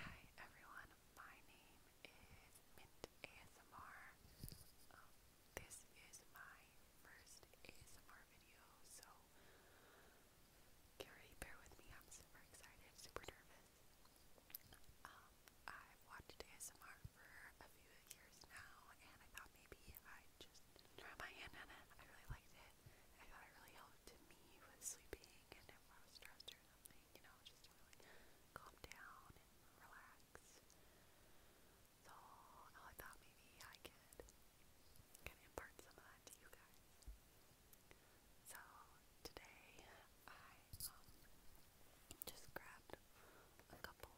Hi everyone, my name is Mint ASMR. Um, this is my first ASMR video, so get ready, bear with me. I'm super excited, super nervous. Um, I've watched ASMR for a few years now, and I thought maybe I'd just try my hand at it. I really liked it. I thought it really helped me with sleeping and if I was stressed or something you know, just to really calm down and relax. So oh, I thought maybe I could kind of impart some of that to you guys. So today I um, just grabbed a couple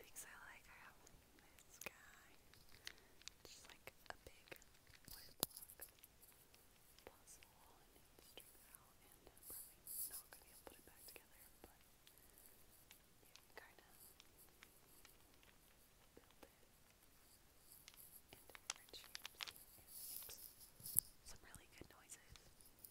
things I like. I have this guy, just like a big wood block puzzle and it was strings out, and I'm probably not going to be able to put it back together, but you can kind of build it in different shapes and it makes some really good noises. I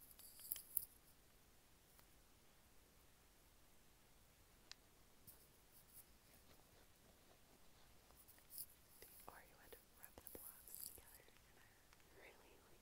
The Oreo had to rub the blobs together and I really like I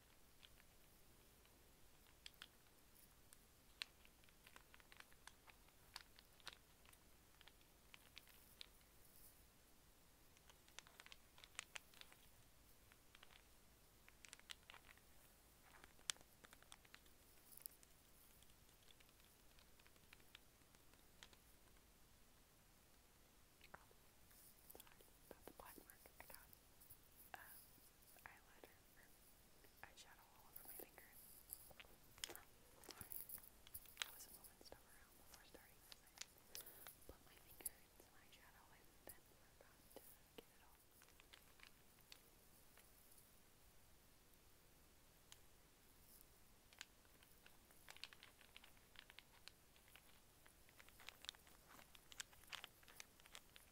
Oh, sorry, that's the black mark I got. Um, eyeliner or eyeshadow all over my finger. Oh, sorry. I wasn't moving stuff around before starting this. I put my finger in some eyeshadow and then forgot to get it off. Okay,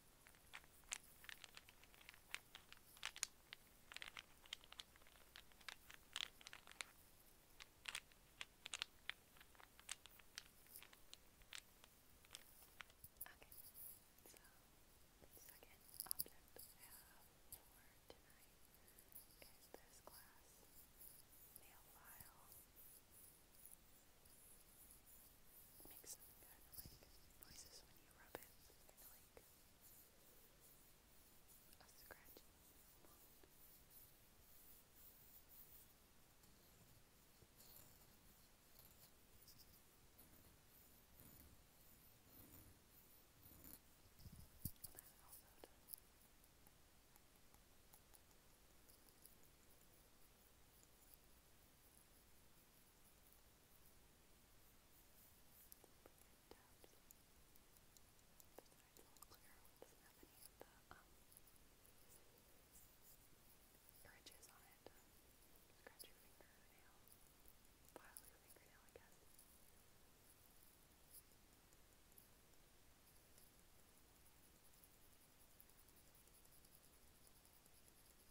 the second object I have for tonight is this glass nail file makes some kind of like noises when you rub it, kind of like a scratching one. And that also does. It tabs. Besides all clear, doesn't have any of the um, ridges on it. Scratch your fingernail, file your fingernail, I guess. It's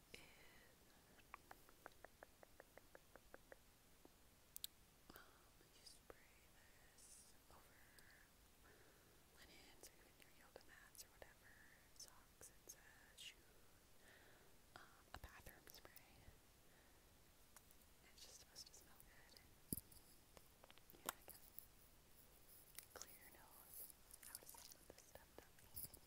um, you spray this over linens or your yoga mats or whatever, socks, it's shoes, a bathroom spray. It's just supposed to smell good. Clear your nose. I would this stuff, dummy.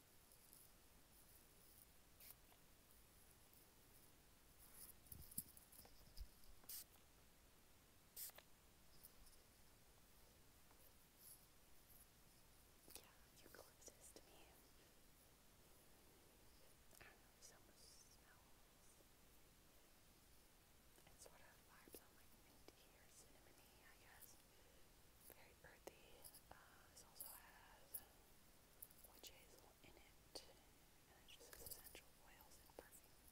Yeah, eucalyptus to me. I don't know, so much smells. It sort of vibes on like minty or cinnamony, I guess very earthy. Uh, also has witch hazel in it, and it just says essential oils and perfume. Perfume.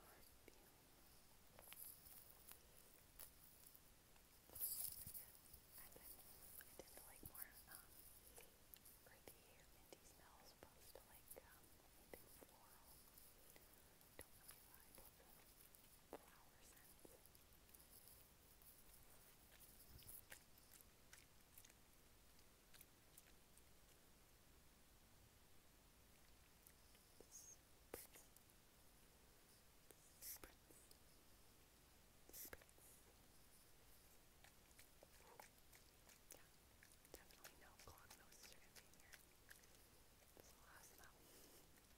Perfume. I've I tend to like more um, earthy or smells, opposed to like um, floral flower scents. Spritz. Spritz. Spritz. Yeah, definitely no clogged noses are going to be in here. There's a lot of smell.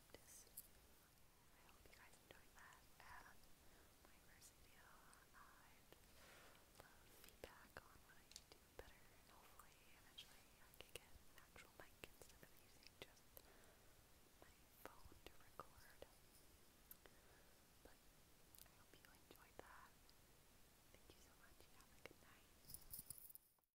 I hope you guys enjoyed that my first video. i love feedback on what I do better and hopefully eventually I can get actual mic instead of using just my phone to record. But I hope you enjoyed that. Thank you so much have a good night.